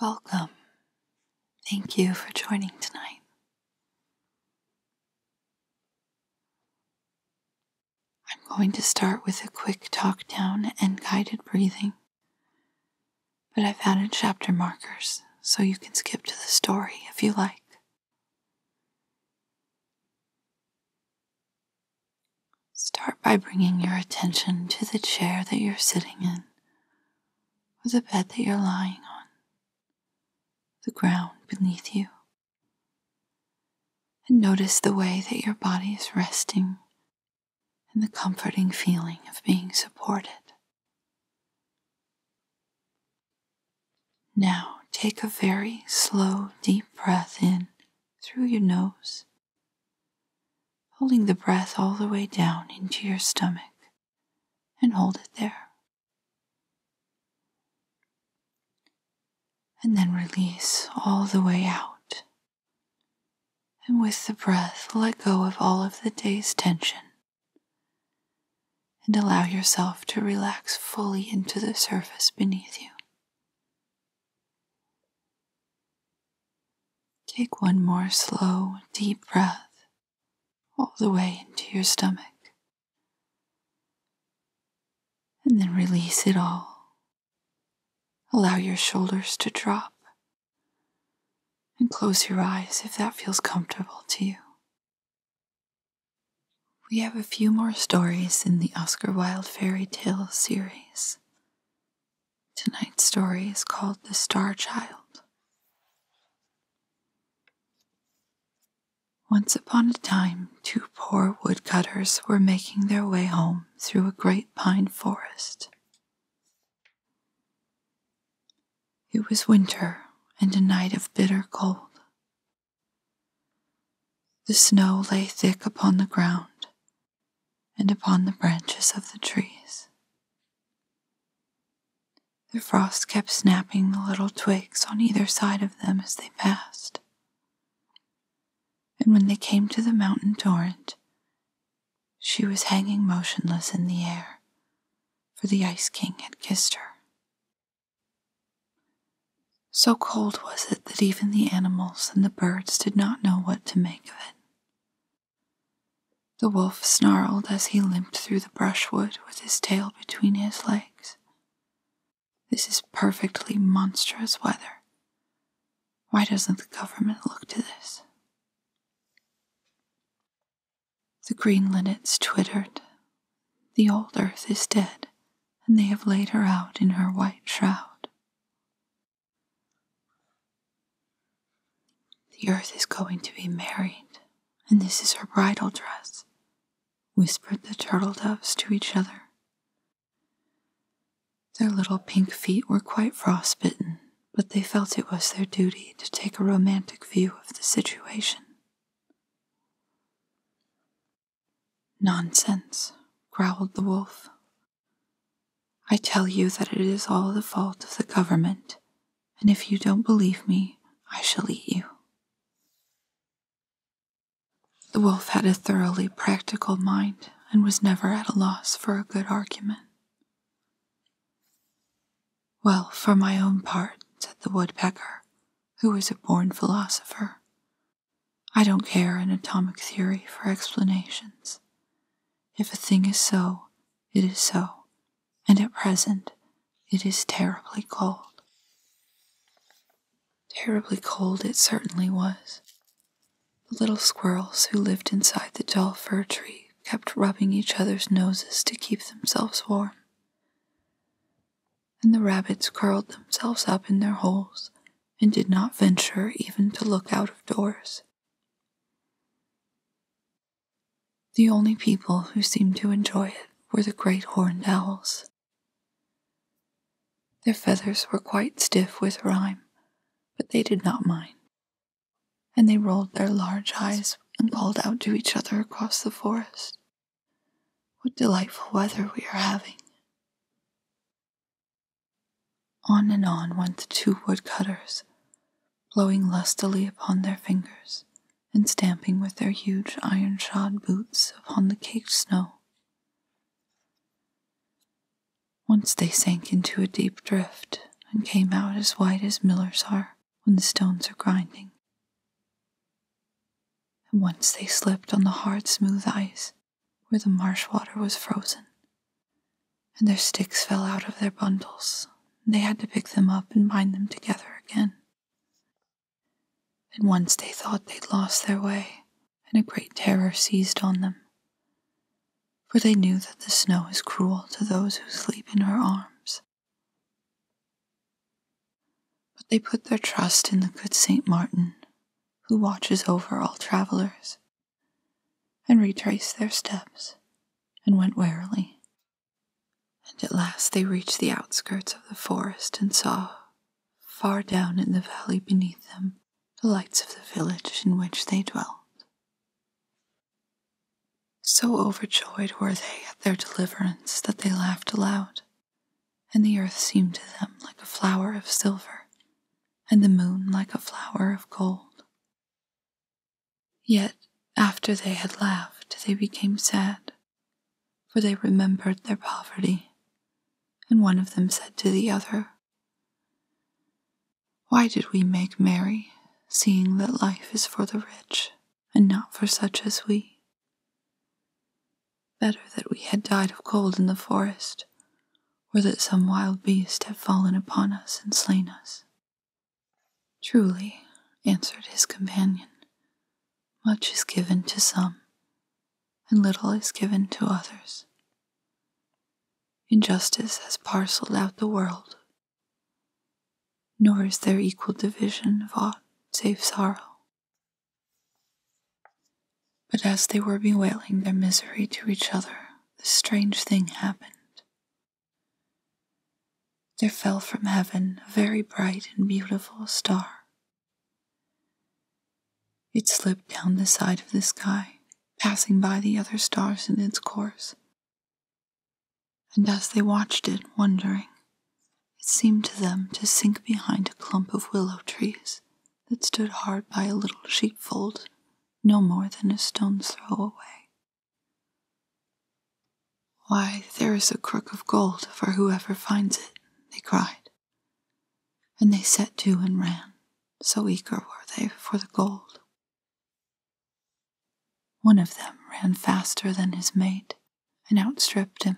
Welcome. Thank you for joining tonight. I'm going to start with a quick talk down and guided breathing, but I've added chapter markers so you can skip to the story if you like. Start by bringing your attention to the chair that you're sitting in, or the bed that you're lying on, the ground beneath you. And notice the way that your body is resting and the comforting feeling of being supported. Now take a very slow, deep breath in through your nose, holding the breath all the way down into your stomach, and hold it there. And then release all the way out. And with the breath, let go of all of the day's tension and allow yourself to relax fully into the surface beneath you. Take one more slow, deep breath all the way into your stomach. And then release it all. Allow your shoulders to drop. And close your eyes if that feels comfortable to you. We have a few more stories in the Oscar Wilde fairy tale series. Tonight's story is called The Star Child. Once upon a time, two poor woodcutters were making their way home through a great pine forest. It was winter and a night of bitter cold. The snow lay thick upon the ground and upon the branches of the trees. The frost kept snapping the little twigs on either side of them as they passed. And when they came to the mountain torrent, she was hanging motionless in the air, for the Ice King had kissed her. So cold was it that even the animals and the birds did not know what to make of it. The wolf snarled as he limped through the brushwood with his tail between his legs. This is perfectly monstrous weather. Why doesn't the government look to this? The green linnets twittered. The old earth is dead, and they have laid her out in her white shroud. The earth is going to be married, and this is her bridal dress, whispered the turtle doves to each other. Their little pink feet were quite frostbitten, but they felt it was their duty to take a romantic view of the situation. Nonsense, growled the wolf. I tell you that it is all the fault of the government, and if you don't believe me, I shall eat you. The wolf had a thoroughly practical mind and was never at a loss for a good argument. Well, for my own part, said the woodpecker, who was a born philosopher, I don't care an atomic theory for explanations. If a thing is so, it is so, and at present it is terribly cold. Terribly cold it certainly was. The little squirrels who lived inside the tall fir tree kept rubbing each other's noses to keep themselves warm. And the rabbits curled themselves up in their holes and did not venture even to look out of doors. The only people who seemed to enjoy it were the great horned owls. Their feathers were quite stiff with rime, but they did not mind. And they rolled their large eyes and called out to each other across the forest. What delightful weather we are having. On and on went the two woodcutters, blowing lustily upon their fingers and stamping with their huge iron shod boots upon the caked snow. Once they sank into a deep drift and came out as white as Millers are when the stones are grinding. And once they slipped on the hard, smooth ice where the marsh water was frozen, and their sticks fell out of their bundles, they had to pick them up and bind them together again. And once they thought they'd lost their way, and a great terror seized on them, for they knew that the snow is cruel to those who sleep in her arms. But they put their trust in the good Saint Martin, who watches over all travelers, and retraced their steps and went warily. And at last they reached the outskirts of the forest and saw, far down in the valley beneath them, the lights of the village in which they dwelt. So overjoyed were they at their deliverance that they laughed aloud, and the earth seemed to them like a flower of silver, and the moon like a flower of gold. Yet, after they had laughed, they became sad, for they remembered their poverty, and one of them said to the other, Why did we make merry, seeing that life is for the rich? and not for such as we. Better that we had died of cold in the forest, or that some wild beast had fallen upon us and slain us. Truly, answered his companion, much is given to some, and little is given to others. Injustice has parcelled out the world nor is there equal division of aught save sorrow. But as they were bewailing their misery to each other, this strange thing happened. There fell from heaven a very bright and beautiful star. It slipped down the side of the sky, passing by the other stars in its course, and as they watched it, wondering, it seemed to them to sink behind a clump of willow trees that stood hard by a little sheepfold, no more than a stone's throw away. Why, there is a crook of gold for whoever finds it, they cried. And they set to and ran, so eager were they for the gold. One of them ran faster than his mate, and outstripped him,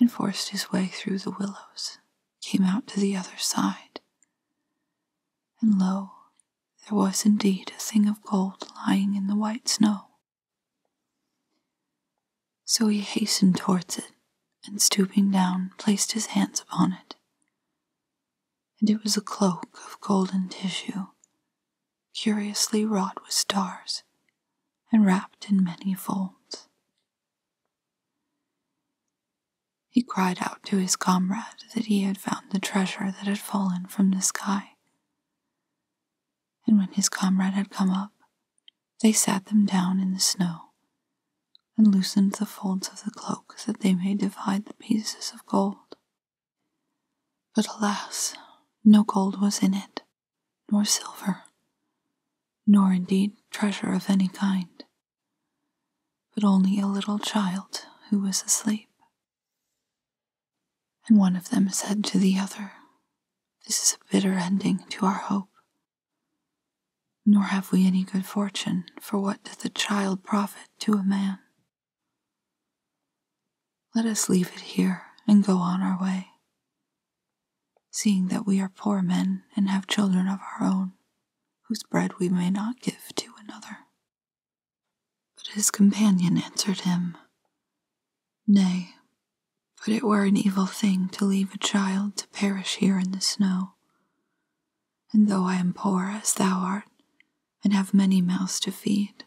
and forced his way through the willows, came out to the other side. And lo, there was indeed a thing of gold lying in the white snow. So he hastened towards it, and stooping down, placed his hands upon it. And it was a cloak of golden tissue, curiously wrought with stars and wrapped in many folds. He cried out to his comrade that he had found the treasure that had fallen from the sky. And when his comrade had come up, they sat them down in the snow and loosened the folds of the cloak that they may divide the pieces of gold. But alas, no gold was in it, nor silver, nor indeed treasure of any kind, but only a little child who was asleep. And one of them said to the other, This is a bitter ending to our hope. Nor have we any good fortune, for what doth a child profit to a man? Let us leave it here and go on our way, seeing that we are poor men and have children of our own, whose bread we may not give to another. But his companion answered him, Nay, but it were an evil thing to leave a child to perish here in the snow. And though I am poor as thou art, and have many mouths to feed,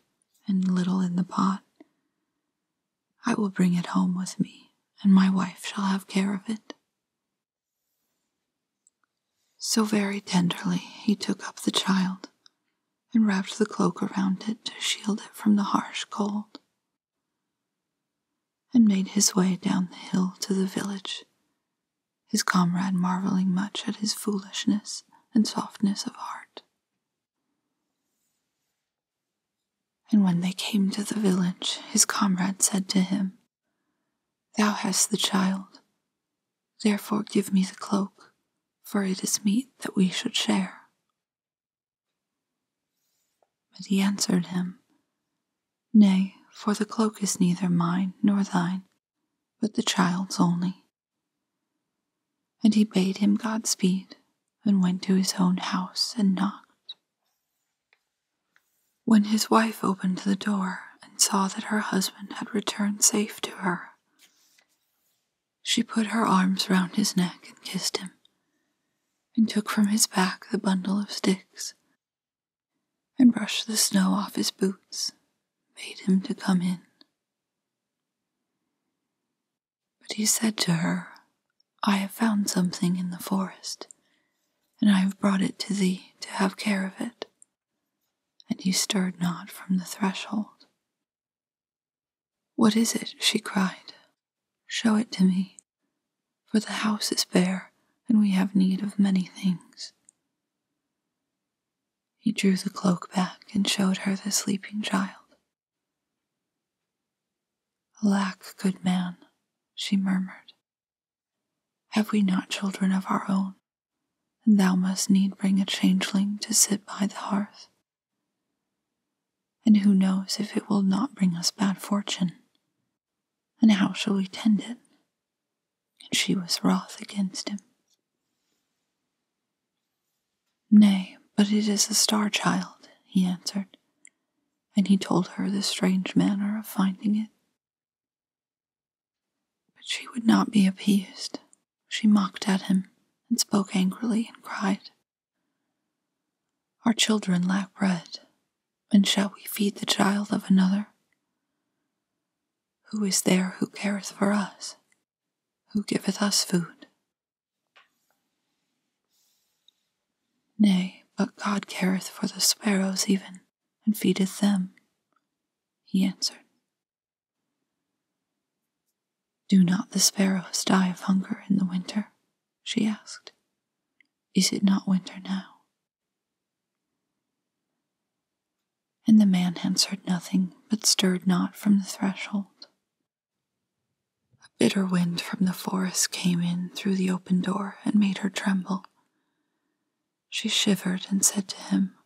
and little in the pot. I will bring it home with me, and my wife shall have care of it. So very tenderly he took up the child, and wrapped the cloak around it to shield it from the harsh cold, and made his way down the hill to the village, his comrade marveling much at his foolishness and softness of heart. And when they came to the village, his comrade said to him, Thou hast the child, therefore give me the cloak, for it is meet that we should share. But he answered him, Nay, for the cloak is neither mine nor thine, but the child's only. And he bade him Godspeed, and went to his own house and knocked. When his wife opened the door and saw that her husband had returned safe to her, she put her arms round his neck and kissed him, and took from his back the bundle of sticks, and brushed the snow off his boots, bade him to come in. But he said to her, I have found something in the forest, and I have brought it to thee to have care of it. And he stirred not from the threshold. What is it? she cried. Show it to me, for the house is bare, and we have need of many things. He drew the cloak back and showed her the sleeping child. Alack, good man, she murmured, have we not children of our own? And thou must need bring a changeling to sit by the hearth. And who knows if it will not bring us bad fortune? And how shall we tend it? And she was wroth against him. Nay, but it is the star child, he answered, and he told her the strange manner of finding it. But she would not be appeased. She mocked at him, and spoke angrily, and cried, Our children lack bread, and shall we feed the child of another? Who is there who careth for us? Who giveth us food? Nay, but God careth for the sparrows even, and feedeth them. He answered, Do not the sparrows die of hunger in the winter? she asked. Is it not winter now? And the man answered nothing, but stirred not from the threshold. A bitter wind from the forest came in through the open door and made her tremble. She shivered and said to him,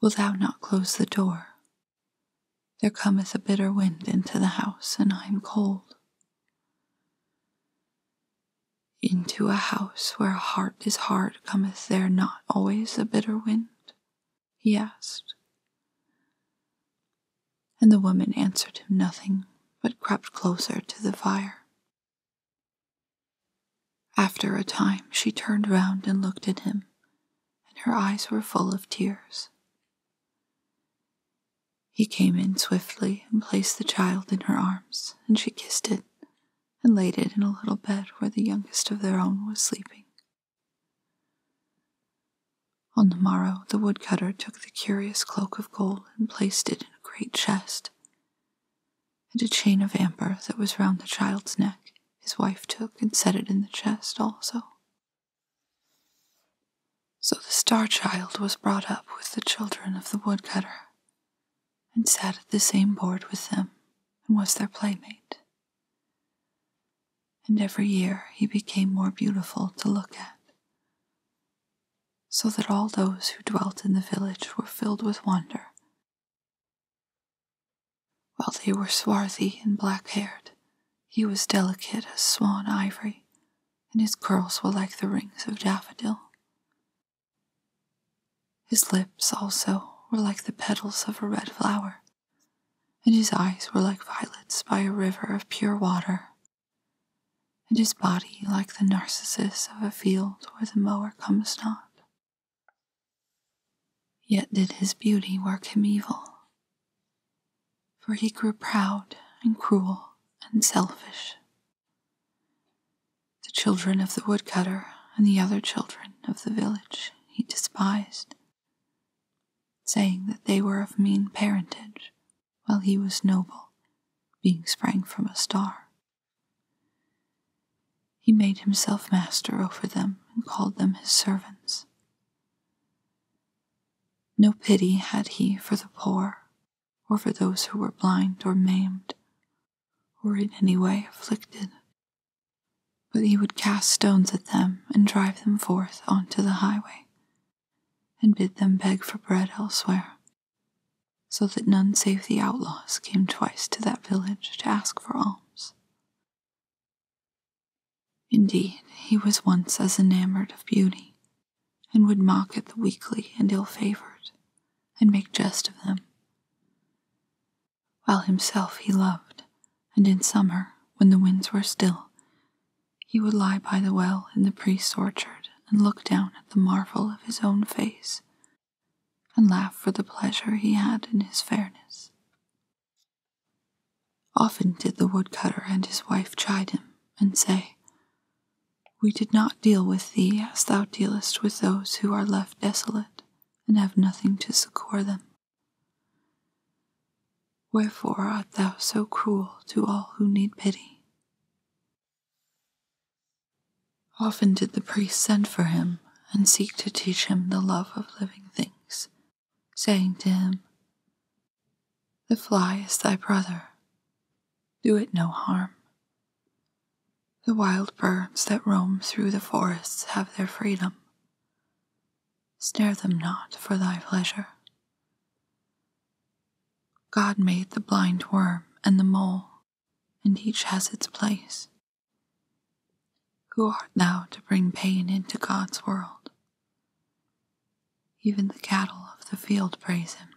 "Wilt thou not close the door? There cometh a bitter wind into the house, and I am cold. Into a house where heart is hard cometh there not always a bitter wind? he asked. And the woman answered him nothing, but crept closer to the fire. After a time she turned round and looked at him, and her eyes were full of tears. He came in swiftly and placed the child in her arms, and she kissed it and laid it in a little bed where the youngest of their own was sleeping. On the morrow, the woodcutter took the curious cloak of gold and placed it in a great chest. And a chain of amber that was round the child's neck, his wife took and set it in the chest also. So the star child was brought up with the children of the woodcutter, and sat at the same board with them, and was their playmate and every year he became more beautiful to look at, so that all those who dwelt in the village were filled with wonder. While they were swarthy and black haired, he was delicate as swan ivory, and his curls were like the rings of daffodil. His lips also were like the petals of a red flower, and his eyes were like violets by a river of pure water, and his body like the narcissus of a field where the mower comes not. Yet did his beauty work him evil, for he grew proud and cruel and selfish. The children of the woodcutter and the other children of the village he despised saying that they were of mean parentage, while he was noble, being sprang from a star. He made himself master over them and called them his servants. No pity had he for the poor, or for those who were blind or maimed, or in any way afflicted, but he would cast stones at them and drive them forth onto the highway, and bid them beg for bread elsewhere, so that none save the outlaws came twice to that village to ask for alms. Indeed, he was once as enamored of beauty, and would mock at the weakly and ill favored, and make jest of them while himself he loved, and in summer, when the winds were still, he would lie by the well in the priest's orchard and look down at the marvel of his own face, and laugh for the pleasure he had in his fairness. Often did the woodcutter and his wife chide him, and say, We did not deal with thee as thou dealest with those who are left desolate, and have nothing to succour them. Wherefore art thou so cruel to all who need pity? Often did the priest send for him and seek to teach him the love of living things, saying to him, The fly is thy brother, do it no harm. The wild birds that roam through the forests have their freedom, snare them not for thy pleasure. God made the blind worm and the mole, and each has its place. Who art thou to bring pain into God's world? Even the cattle of the field praise him.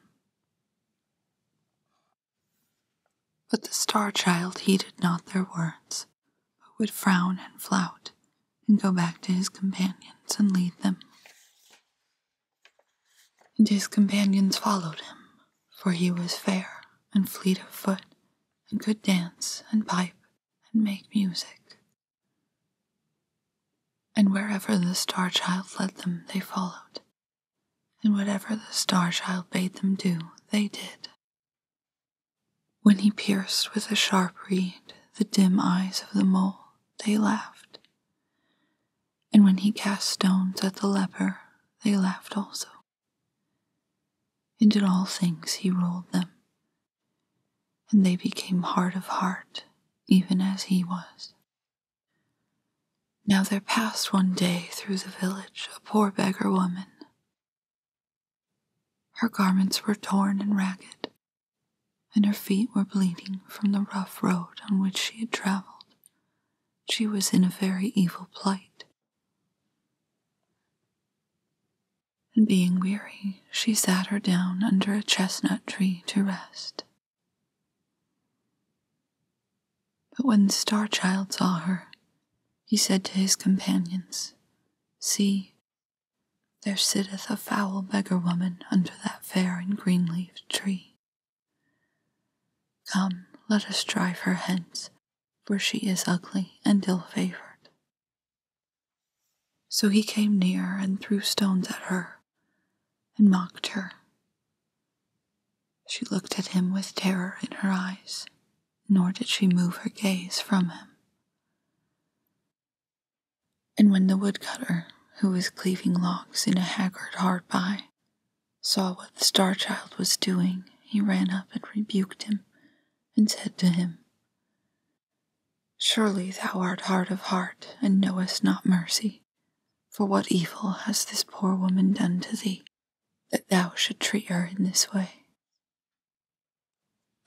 But the star child heeded not their words but would frown and flout and go back to his companions and lead them. And his companions followed him, for he was fair and fleet of foot and could dance and pipe and make music. And wherever the star child led them, they followed, and whatever the star child bade them do, they did. When he pierced with a sharp reed the dim eyes of the mole, they laughed. And when he cast stones at the leper, they laughed also. And in all things he ruled them, and they became hard of heart, even as he was. Now there passed one day through the village a poor beggar woman, her garments were torn and ragged, and her feet were bleeding from the rough road on which she had traveled. She was in a very evil plight. And being weary, she sat her down under a chestnut tree to rest. But when the star child saw her, he said to his companions, See, there sitteth a foul beggar woman under that fair and green leaved tree. Come, let us drive her hence, for she is ugly and ill favored. So he came near and threw stones at her and mocked her. She looked at him with terror in her eyes nor did she move her gaze from him. And when the woodcutter, who was cleaving logs in a haggard hard by, saw what the star child was doing, he ran up and rebuked him, and said to him, Surely thou art hard of heart, and knowest not mercy. For what evil has this poor woman done to thee, that thou should treat her in this way?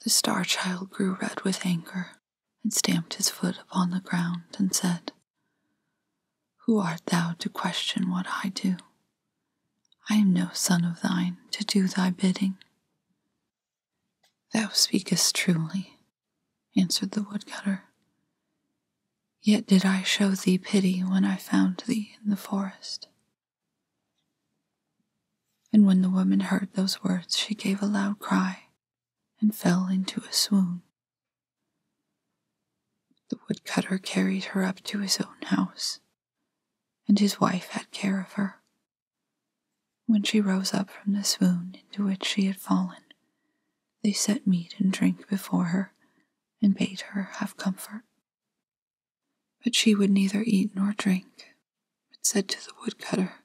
The star child grew red with anger, and stamped his foot upon the ground, and said, Who art thou to question what I do? I am no son of thine to do thy bidding. Thou speakest truly, answered the woodcutter. Yet did I show thee pity when I found thee in the forest, and when the woman heard those words, she gave a loud cry and fell into a swoon. The woodcutter carried her up to his own house, and his wife had care of her. When she rose up from the swoon into which she had fallen, they set meat and drink before her and bade her have comfort. But she would neither eat nor drink, but said to the woodcutter,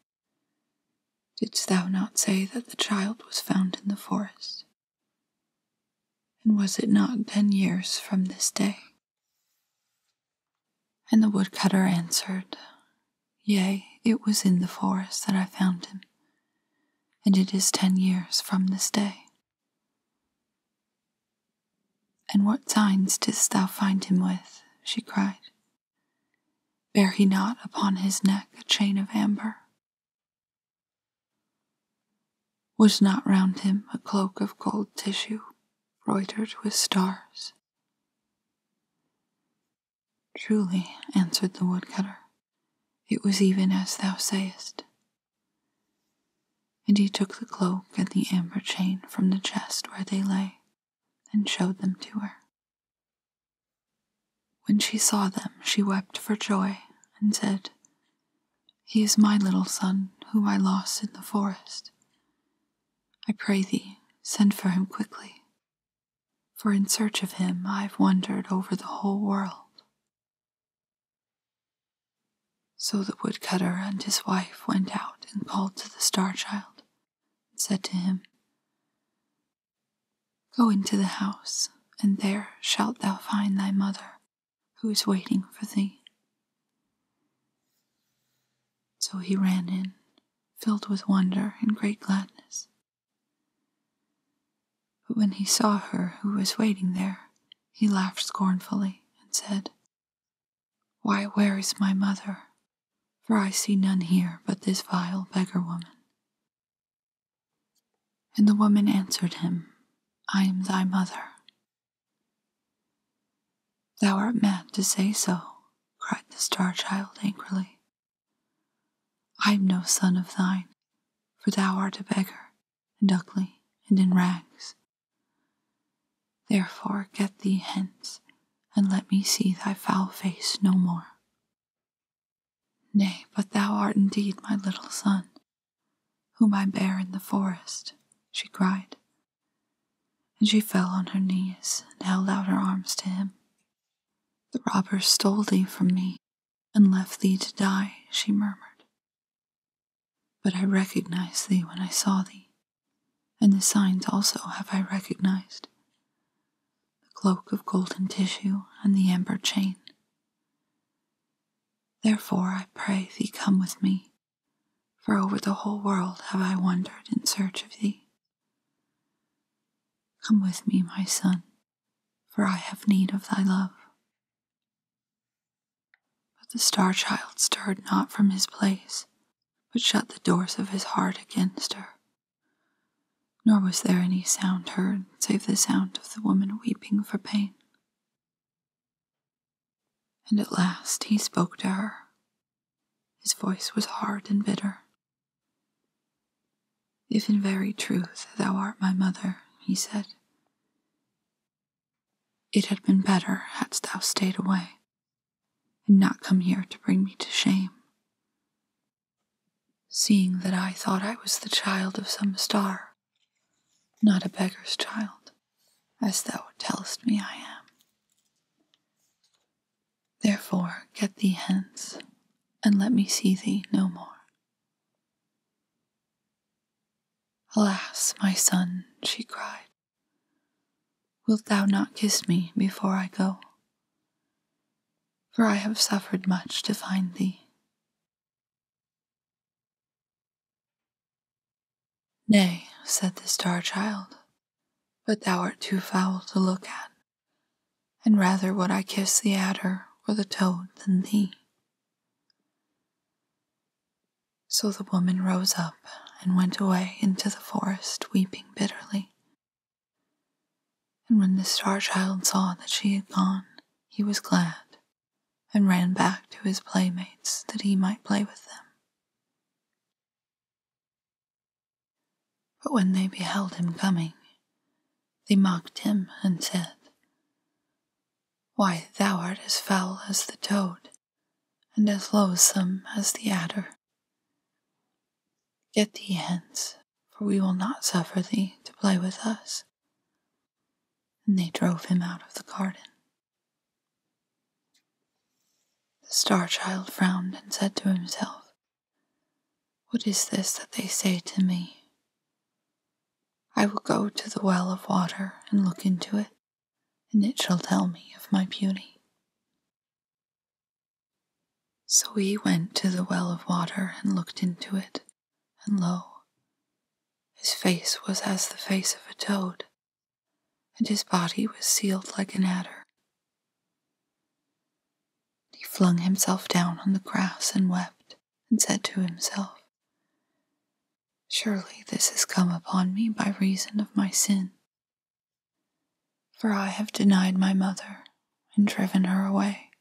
Didst thou not say that the child was found in the forest? And was it not ten years from this day? And the woodcutter answered, Yea, it was in the forest that I found him, and it is ten years from this day. And what signs didst thou find him with? she cried. Bear he not upon his neck a chain of amber? Was not round him a cloak of gold tissue, broidered with stars? Truly, answered the woodcutter, it was even as thou sayest. And he took the cloak and the amber chain from the chest where they lay, and showed them to her. When she saw them, she wept for joy, and said, He is my little son, whom I lost in the forest. I pray thee, send for him quickly, for in search of him I have wandered over the whole world. So the woodcutter and his wife went out and called to the star child, and said to him, Go into the house, and there shalt thou find thy mother, who is waiting for thee. So he ran in, filled with wonder and great gladness. But when he saw her who was waiting there, he laughed scornfully and said, why, where is my mother? For I see none here but this vile beggar woman. And the woman answered him, I am thy mother. Thou art mad to say so, cried the star child angrily. I am no son of thine, for thou art a beggar, and ugly, and in rags. Therefore get thee hence, and let me see thy foul face no more. Nay, but thou art indeed my little son, whom I bare in the forest, she cried. And she fell on her knees and held out her arms to him. The robbers stole thee from me and left thee to die, she murmured. But I recognized thee when I saw thee, and the signs also have I recognized the cloak of golden tissue and the amber chain. Therefore I pray thee come with me, for over the whole world have I wandered in search of thee. Come with me, my son, for I have need of thy love. But the star child stirred not from his place, but shut the doors of his heart against her. Nor was there any sound heard save the sound of the woman weeping for pain. And at last he spoke to her. His voice was hard and bitter. If in very truth thou art my mother, he said, it had been better hadst thou stayed away and not come here to bring me to shame. Seeing that I thought I was the child of some star, not a beggar's child, as thou tellest me I am. Therefore, get thee hence, and let me see thee no more. Alas, my son, she cried, Wilt thou not kiss me before I go? For I have suffered much to find thee. Nay, said the star child, but thou art too foul to look at, and rather would I kiss the adder or the toad than thee. So the woman rose up and went away into the forest, weeping bitterly. And when the star child saw that she had gone, he was glad, and ran back to his playmates that he might play with them. But when they beheld him coming, they mocked him and said, Why, thou art as foul as the toad, and as loathsome as the adder. Get thee hence, for we will not suffer thee to play with us. And they drove him out of the garden. The star child frowned and said to himself, What is this that they say to me? I will go to the well of water and look into it and it shall tell me of my beauty. So he went to the well of water and looked into it, and lo, his face was as the face of a toad, and his body was sealed like an adder. He flung himself down on the grass and wept, and said to himself, Surely this has come upon me by reason of my sin. For I have denied my mother and driven her away,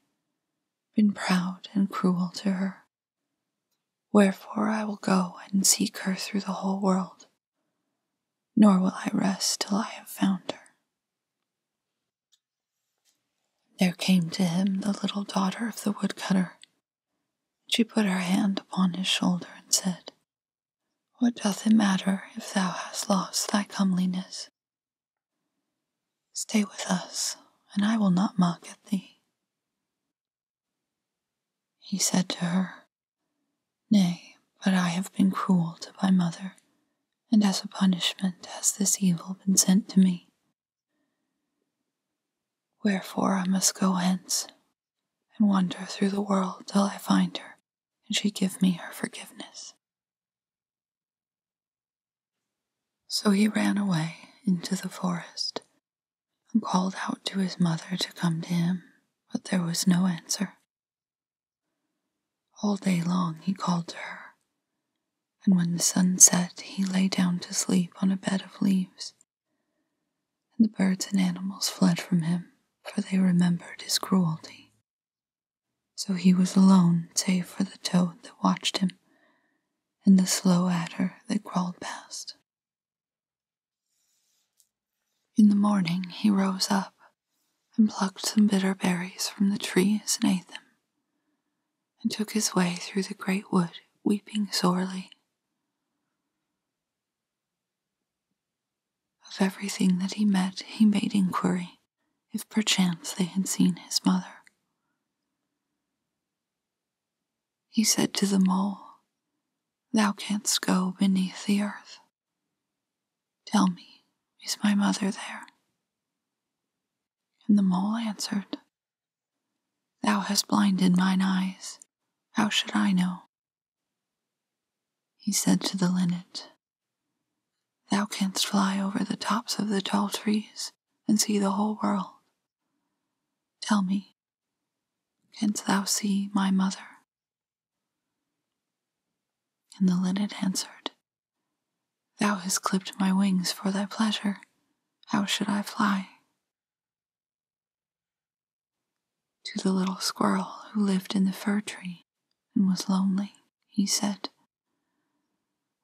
been proud and cruel to her. Wherefore I will go and seek her through the whole world, nor will I rest till I have found her. There came to him the little daughter of the woodcutter. She put her hand upon his shoulder and said, what doth it matter if thou hast lost thy comeliness? Stay with us, and I will not mock at thee. He said to her, Nay, but I have been cruel to my mother, and as a punishment has this evil been sent to me. Wherefore I must go hence, and wander through the world till I find her and she give me her forgiveness. So he ran away into the forest and called out to his mother to come to him, but there was no answer. All day long he called to her, and when the sun set, he lay down to sleep on a bed of leaves and the birds and animals fled from him, for they remembered his cruelty. So he was alone, save for the toad that watched him, and the slow adder that crawled past. In the morning he rose up and plucked some bitter berries from the trees and ate them, and took his way through the great wood, weeping sorely. Of everything that he met, he made inquiry, if perchance they had seen his mother. He said to the mole, Thou canst go beneath the earth. Tell me, is my mother there? And the mole answered, Thou hast blinded mine eyes. How should I know? He said to the linnet, Thou canst fly over the tops of the tall trees and see the whole world. Tell me, canst thou see my mother? And the linnet answered, Thou hast clipped my wings for thy pleasure. How should I fly? To the little squirrel who lived in the fir tree and was lonely, he said,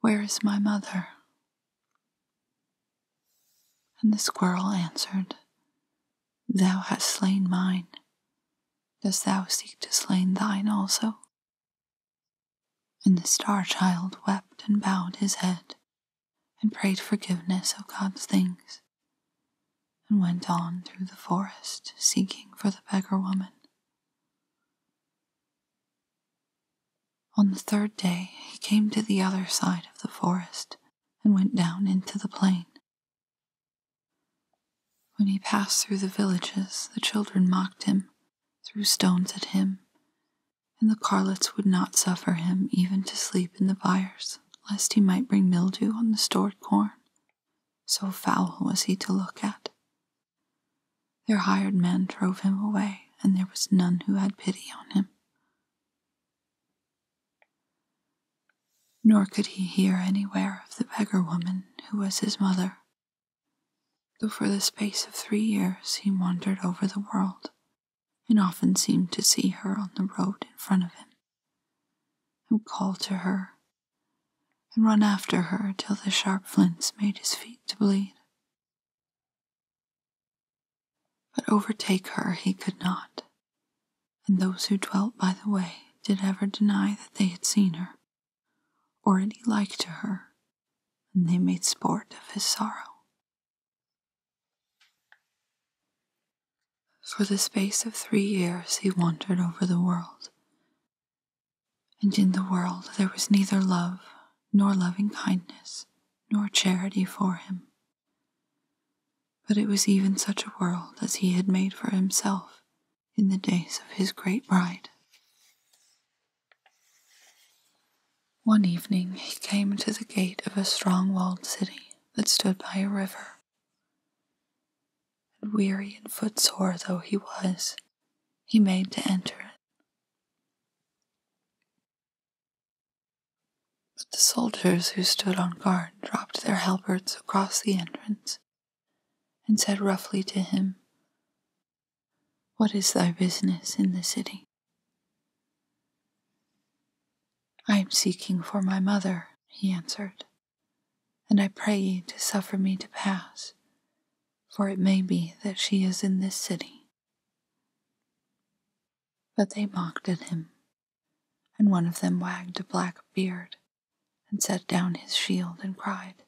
Where is my mother? And the squirrel answered, Thou hast slain mine. Dost thou seek to slay thine also? And the star child wept and bowed his head and prayed forgiveness of God's things, and went on through the forest seeking for the beggar woman. On the third day he came to the other side of the forest and went down into the plain. When he passed through the villages, the children mocked him, threw stones at him, and the carlots would not suffer him even to sleep in the byres lest he might bring mildew on the stored corn. So foul was he to look at. Their hired men drove him away, and there was none who had pity on him. Nor could he hear anywhere of the beggar woman who was his mother. Though for the space of three years he wandered over the world, and often seemed to see her on the road in front of him, and call to her, and run after her till the sharp flints made his feet to bleed. But overtake her he could not, and those who dwelt by the way did ever deny that they had seen her, or any like to her, and they made sport of his sorrow. For the space of three years he wandered over the world. And in the world there was neither love, nor loving kindness, nor charity for him. But it was even such a world as he had made for himself in the days of his great bride. One evening he came to the gate of a strong walled city that stood by a river. And weary and footsore though he was, he made to enter it. But the soldiers who stood on guard dropped their halberds across the entrance, and said roughly to him, What is thy business in the city? I am seeking for my mother, he answered, and I pray you to suffer me to pass, for it may be that she is in this city. But they mocked at him, and one of them wagged a black beard, and set down his shield, and cried,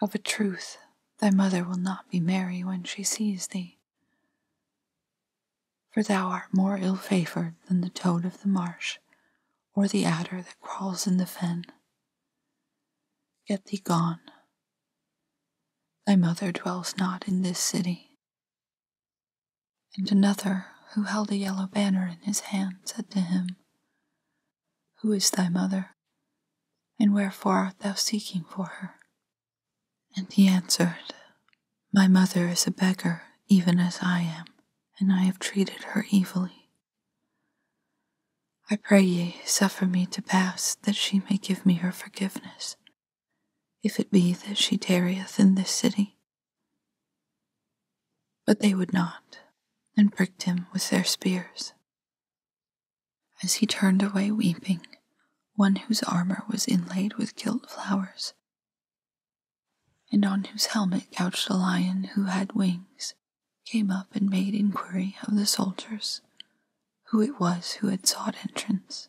Of a truth, thy mother will not be merry when she sees thee for thou art more ill favored than the toad of the marsh, or the adder that crawls in the fen. Get thee gone. Thy mother dwells not in this city. And another, who held a yellow banner in his hand, said to him, Who is thy mother, and wherefore art thou seeking for her? And he answered, My mother is a beggar, even as I am, and I have treated her evilly. I pray ye, suffer me to pass, that she may give me her forgiveness, if it be that she tarrieth in this city. But they would not, and pricked him with their spears. As he turned away weeping, one whose armor was inlaid with gilt flowers, and on whose helmet couched a lion who had wings, came up and made inquiry of the soldiers who it was who had sought entrance.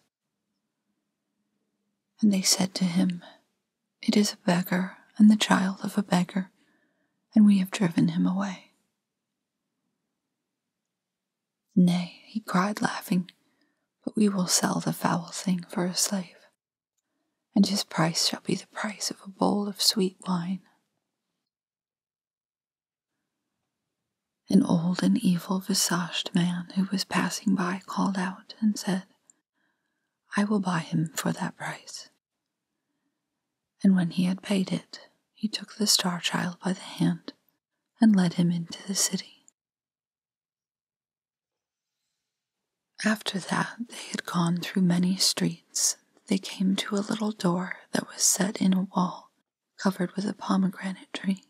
And they said to him, It is a beggar, and the child of a beggar, and we have driven him away. Nay, he cried, laughing, but we will sell the foul thing for a slave, and his price shall be the price of a bowl of sweet wine. An old and evil visaged man who was passing by called out and said, I will buy him for that price. And when he had paid it, he took the star child by the hand and led him into the city. After that, they had gone through many streets. They came to a little door that was set in a wall covered with a pomegranate tree.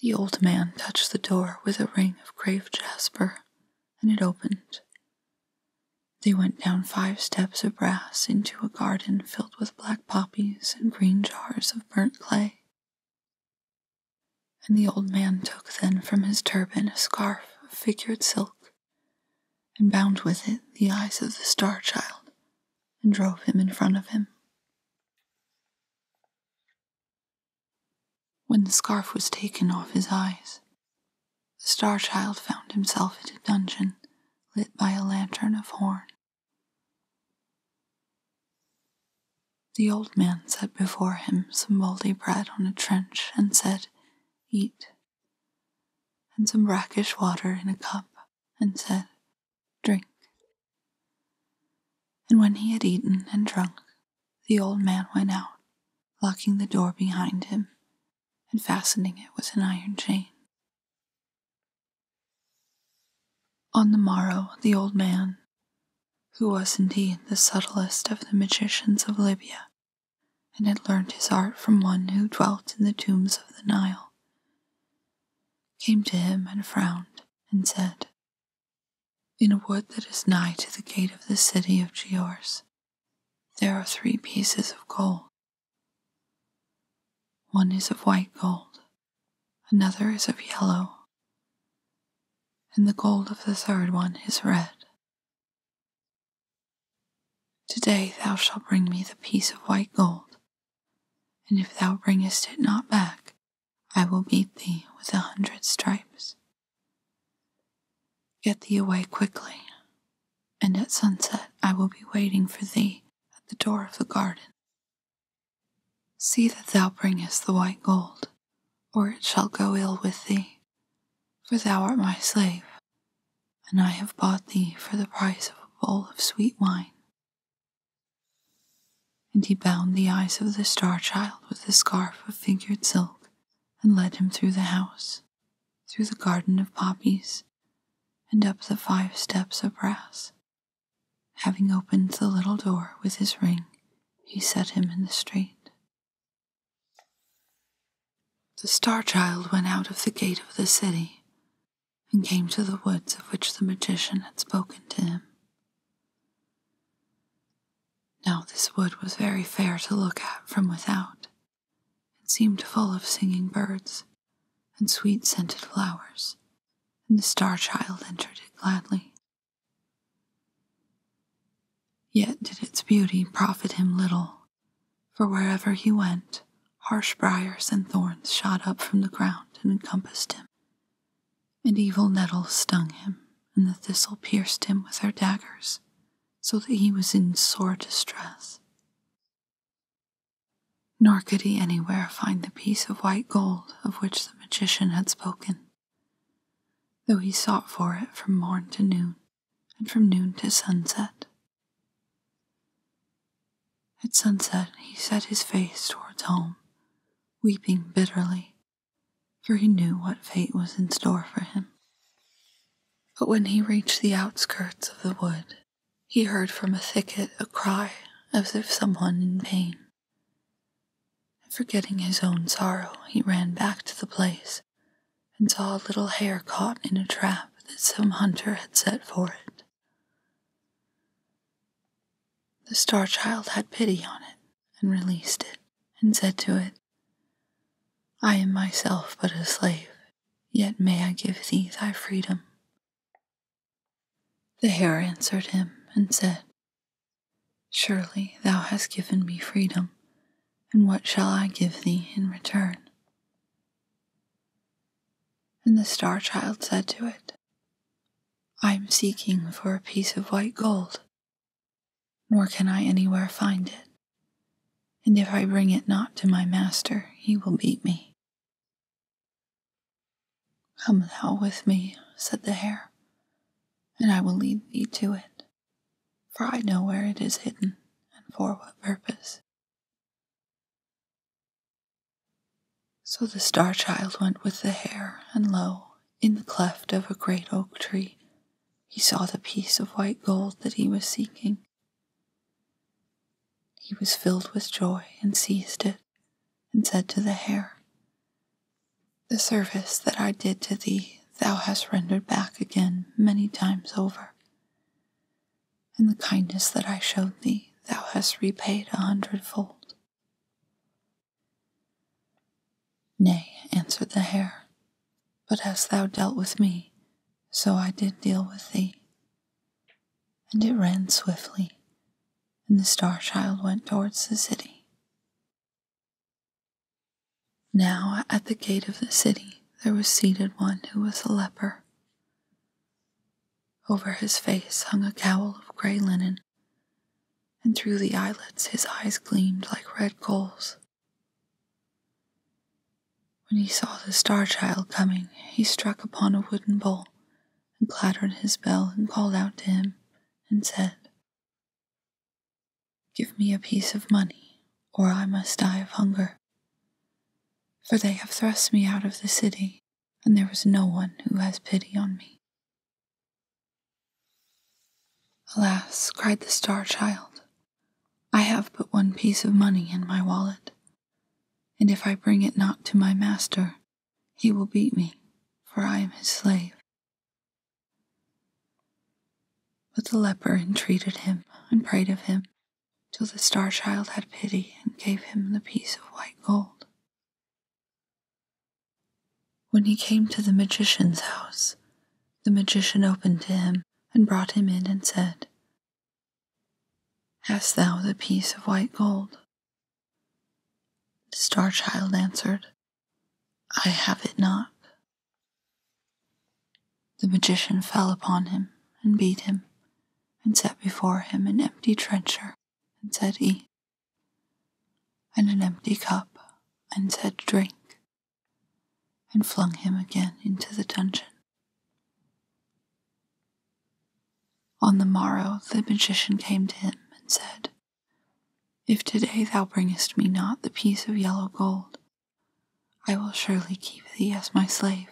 The old man touched the door with a ring of grave jasper, and it opened. They went down five steps of brass into a garden filled with black poppies and green jars of burnt clay. And the old man took then from his turban a scarf of figured silk, and bound with it the eyes of the star child, and drove him in front of him. When the scarf was taken off his eyes, the star child found himself in a dungeon lit by a lantern of horn. The old man set before him some mouldy bread on a trench and said, Eat. And some brackish water in a cup and said, Drink. And when he had eaten and drunk, the old man went out, locking the door behind him and fastening it with an iron chain. On the morrow, the old man, who was indeed the subtlest of the magicians of Libya, and had learnt his art from one who dwelt in the tombs of the Nile, came to him and frowned and said, In a wood that is nigh to the gate of the city of Giors, there are three pieces of gold. One is of white gold, another is of yellow, and the gold of the third one is red. Today thou shalt bring me the piece of white gold, and if thou bringest it not back, I will beat thee with a hundred stripes. Get thee away quickly, and at sunset I will be waiting for thee at the door of the garden. See that thou bringest the white gold, or it shall go ill with thee. For thou art my slave, and I have bought thee for the price of a bowl of sweet wine. And he bound the eyes of the star child with a scarf of figured silk, and led him through the house, through the garden of poppies, and up the five steps of brass Having opened the little door with his ring, he set him in the street. The star child went out of the gate of the city and came to the woods of which the magician had spoken to him. Now, this wood was very fair to look at from without, and seemed full of singing birds and sweet scented flowers and the star child entered it gladly. Yet did its beauty profit him little, for wherever he went, harsh briars and thorns shot up from the ground and encompassed him, and evil nettles stung him, and the thistle pierced him with her daggers, so that he was in sore distress. Nor could he anywhere find the piece of white gold of which the magician had spoken, though he sought for it from morn to noon, and from noon to sunset. At sunset he set his face towards home, weeping bitterly, for he knew what fate was in store for him. But when he reached the outskirts of the wood, he heard from a thicket a cry as if someone in pain. Forgetting his own sorrow, he ran back to the place and saw a little hare caught in a trap that some hunter had set for it. The star child had pity on it and released it and said to it, I am myself but a slave, yet may I give thee thy freedom. The hare answered him and said, Surely thou hast given me freedom, and what shall I give thee in return? And the star child said to it, I am seeking for a piece of white gold, nor can I anywhere find it. And if I bring it not to my master, he will beat me. Come thou with me, said the hare, and I will lead thee to it, for I know where it is hidden and for what purpose. So the star child went with the hare, and lo, in the cleft of a great oak tree, he saw the piece of white gold that he was seeking. He was filled with joy and seized it, and said to the hare, The service that I did to thee thou hast rendered back again many times over, and the kindness that I showed thee thou hast repaid a hundredfold. Nay, answered the hare, but hast thou dealt with me, so I did deal with thee and it ran swiftly, and the star child went towards the city. Now at the gate of the city there was seated one who was a leper. Over his face hung a cowl of grey linen, and through the eyelets his eyes gleamed like red coals. When he saw the star child coming, he struck upon a wooden bowl and clattered his bell and called out to him and said, Give me a piece of money, or I must die of hunger. For they have thrust me out of the city, and there is no one who has pity on me. Alas, cried the star child, I have but one piece of money in my wallet, and if I bring it not to my master, he will beat me, for I am his slave. But the leper entreated him and prayed of him, till the star child had pity and gave him the piece of white gold. When he came to the magician's house, the magician opened to him and brought him in and said, Hast thou the piece of white gold? The star child answered, I have it not. The magician fell upon him, and beat him, and set before him an empty trencher, and said, Eat, and an empty cup, and said, Drink, and flung him again into the dungeon. On the morrow the magician came to him and said, If today thou bringest me not the piece of yellow gold, I will surely keep thee as my slave,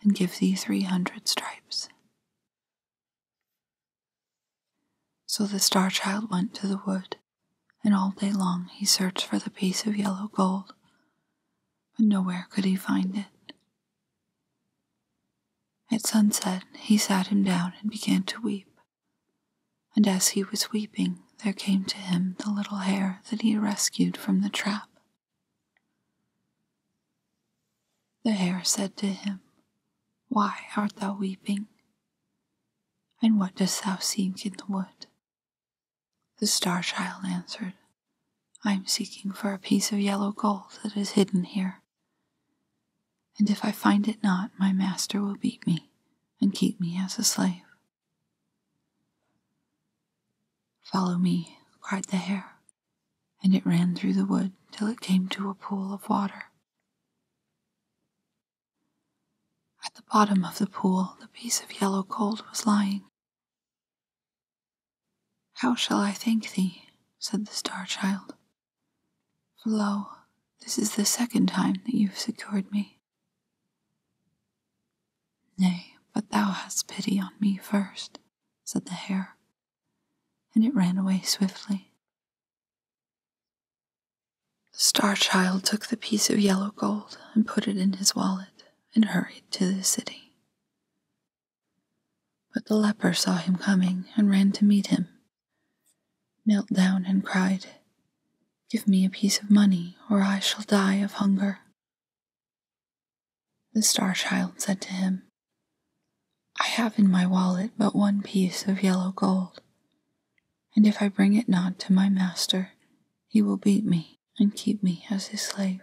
and give thee three hundred stripes. So the star child went to the wood, and all day long he searched for the piece of yellow gold, but nowhere could he find it. At sunset he sat him down and began to weep. And as he was weeping, there came to him the little hare that he had rescued from the trap. The hare said to him, Why art thou weeping? And what dost thou seek in the wood? The star child answered, I am seeking for a piece of yellow gold that is hidden here. And if I find it not, my master will beat me and keep me as a slave. Follow me, cried the hare, and it ran through the wood till it came to a pool of water. At the bottom of the pool, the piece of yellow gold was lying. How shall I thank thee? said the star child. For lo, this is the second time that you've secured me. Nay, but thou hast pity on me first," said the hare, and it ran away swiftly. The star child took the piece of yellow gold and put it in his wallet and hurried to the city. But the leper saw him coming and ran to meet him, knelt down and cried, Give me a piece of money, or I shall die of hunger. The star child said to him, I have in my wallet but one piece of yellow gold, and if I bring it not to my master, he will beat me and keep me as his slave.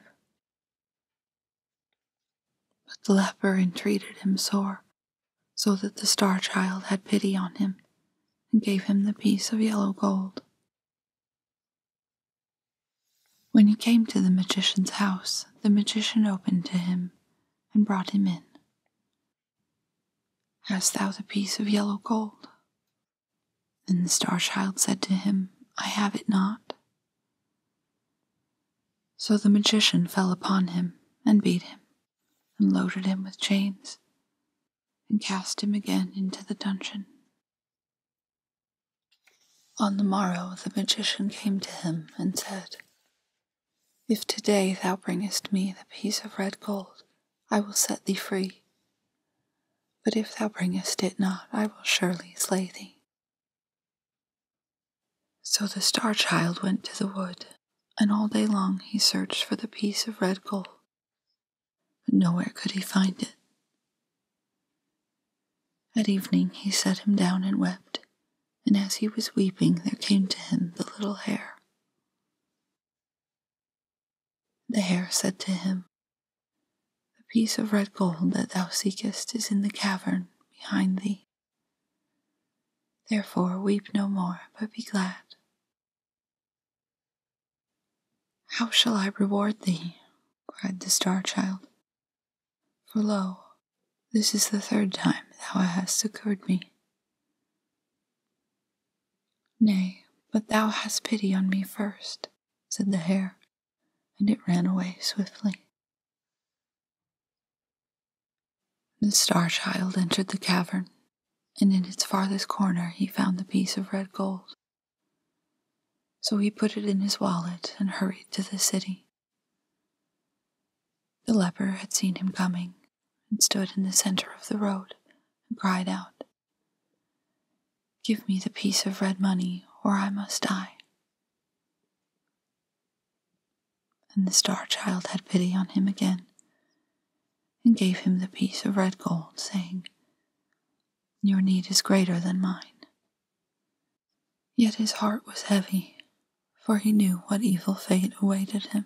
But the leper entreated him sore, so that the star child had pity on him, and gave him the piece of yellow gold. When he came to the magician's house, the magician opened to him and brought him in. Hast thou the piece of yellow gold? Then the star child said to him, I have it not. So the magician fell upon him, and beat him, and loaded him with chains, and cast him again into the dungeon. On the morrow the magician came to him, and said, If to-day thou bringest me the piece of red gold, I will set thee free. But if thou bringest it not, I will surely slay thee. So the star child went to the wood, and all day long he searched for the piece of red gold, but nowhere could he find it. At evening he sat him down and wept, and as he was weeping there came to him the little hare. The hare said to him, The piece of red gold that thou seekest is in the cavern behind thee. Therefore, weep no more, but be glad. How shall I reward thee? cried the star child. For lo, this is the third time thou hast succored me. Nay, but thou hast pity on me first," said the hare, and it ran away swiftly. The star child entered the cavern, and in its farthest corner he found the piece of red gold. So he put it in his wallet and hurried to the city. The leper had seen him coming and stood in the center of the road and cried out, Give me the piece of red money, or I must die. And the Star Child had pity on him again, and gave him the piece of red gold, saying, Your need is greater than mine. Yet his heart was heavy, for he knew what evil fate awaited him.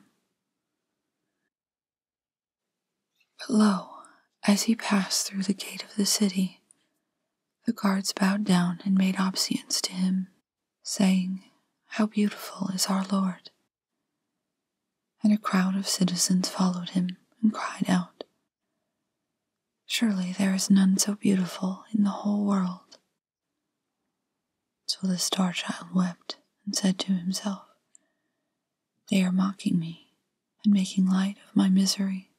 But lo, as he passed through the gate of the city, the guards bowed down and made obeisance to him saying, How beautiful is our Lord! And a crowd of citizens followed him and cried out, Surely there is none so beautiful in the whole world. So the star child wept and said to himself, They are mocking me and making light of my misery.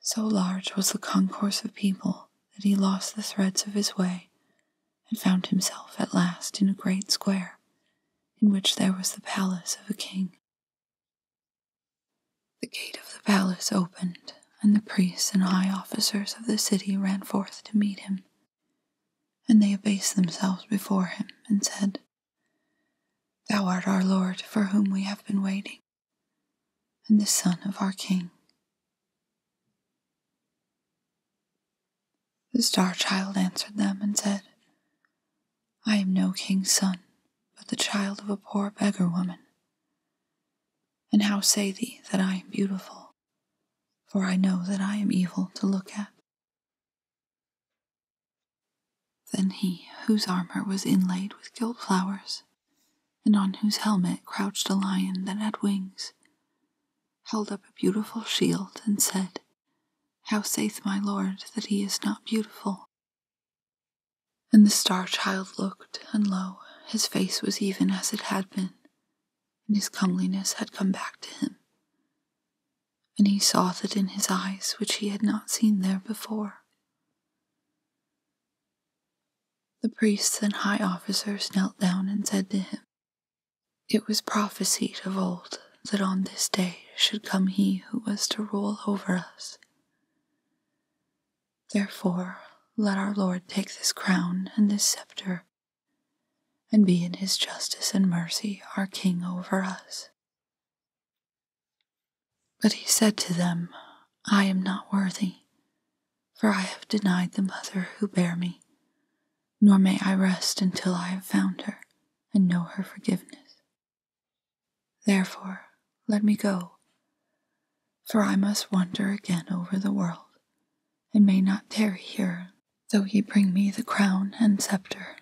So large was the concourse of people that he lost the threads of his way and found himself at last in a great square in which there was the palace of a king. The gate of the palace opened, and the priests and high officers of the city ran forth to meet him. And they abased themselves before him and said, Thou art our Lord, for whom we have been waiting and the Son of our King. The star child answered them and said, I am no king's son, but the child of a poor beggar woman. And how say thee that I am beautiful? For I know that I am evil to look at. Then he, whose armor was inlaid with gilt flowers, and on whose helmet crouched a lion that had wings, held up a beautiful shield and said, How saith my lord that he is not beautiful? And the star child looked, and lo, his face was even as it had been, and his comeliness had come back to him. And he saw that in his eyes which he had not seen there before. The priests and high officers knelt down and said to him, It was prophesied of old that on this day should come he who was to rule over us. Therefore, let our Lord take this crown and this scepter, and be in his justice and mercy our King over us. But he said to them, I am not worthy, for I have denied the mother who bare me, nor may I rest until I have found her and know her forgiveness. Therefore, let me go, for I must wander again over the world, and may not tarry here, though ye bring me the crown and sceptre.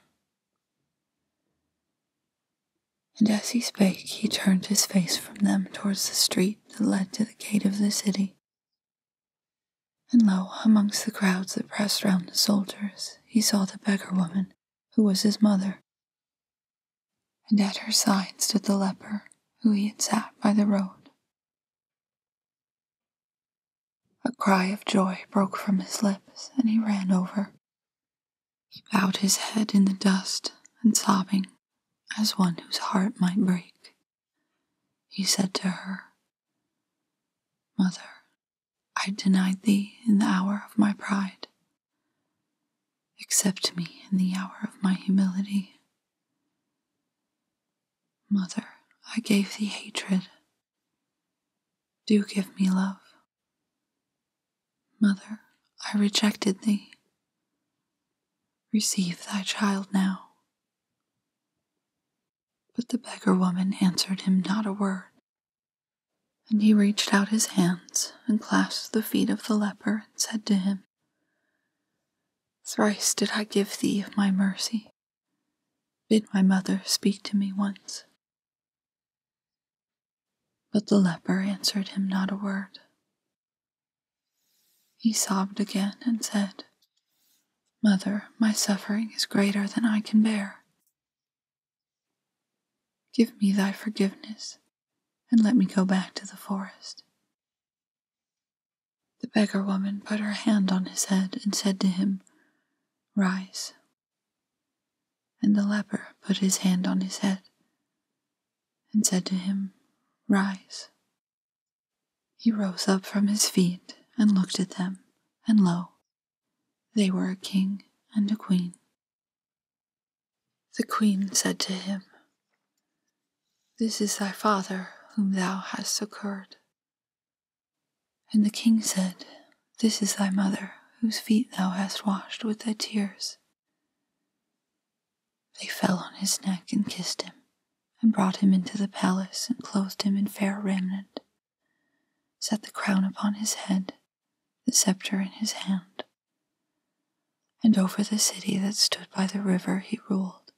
And as he spake, he turned his face from them towards the street that led to the gate of the city. And lo, amongst the crowds that pressed round the soldiers, he saw the beggar woman, who was his mother. And at her side stood the leper, who he had sat by the road. A cry of joy broke from his lips, and he ran over he bowed his head in the dust and sobbing, as one whose heart might break. He said to her, Mother, I denied thee in the hour of my pride. Accept me in the hour of my humility. Mother, I gave thee hatred. Do give me love. Mother, I rejected thee. Receive thy child now. But the beggar woman answered him not a word. And he reached out his hands and clasped the feet of the leper and said to him, Thrice did I give thee of my mercy. Bid my mother speak to me once. But the leper answered him not a word. He sobbed again and said, Mother, my suffering is greater than I can bear. Give me thy forgiveness, and let me go back to the forest. The beggar woman put her hand on his head and said to him, Rise. And the leper put his hand on his head and said to him, Rise. He rose up from his feet and looked at them, and lo, they were a king and a queen. The queen said to him, This is thy father whom thou hast succored. And the king said, This is thy mother whose feet thou hast washed with thy tears. They fell on his neck and kissed him, and brought him into the palace and clothed him in fair raiment, set the crown upon his head, the sceptre in his hand. And over the city that stood by the river he ruled,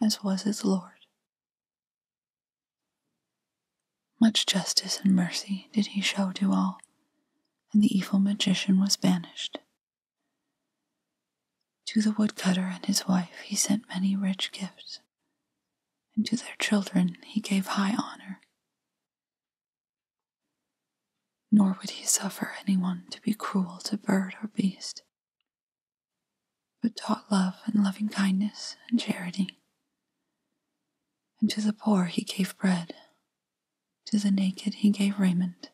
as was his lord. Much justice and mercy did he show to all, and the evil magician was banished. To the woodcutter and his wife he sent many rich gifts, and to their children he gave high honor. Nor would he suffer any one to be cruel to bird or beast, but taught love and loving kindness and charity. And to the poor he gave bread to the naked he gave raiment,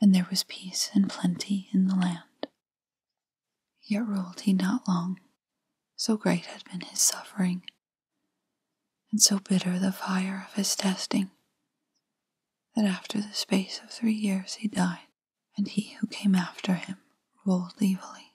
and there was peace and plenty in the land. Yet ruled he not long, so great had been his suffering, and so bitter the fire of his testing, that after the space of three years he died, and he who came after him ruled evilly.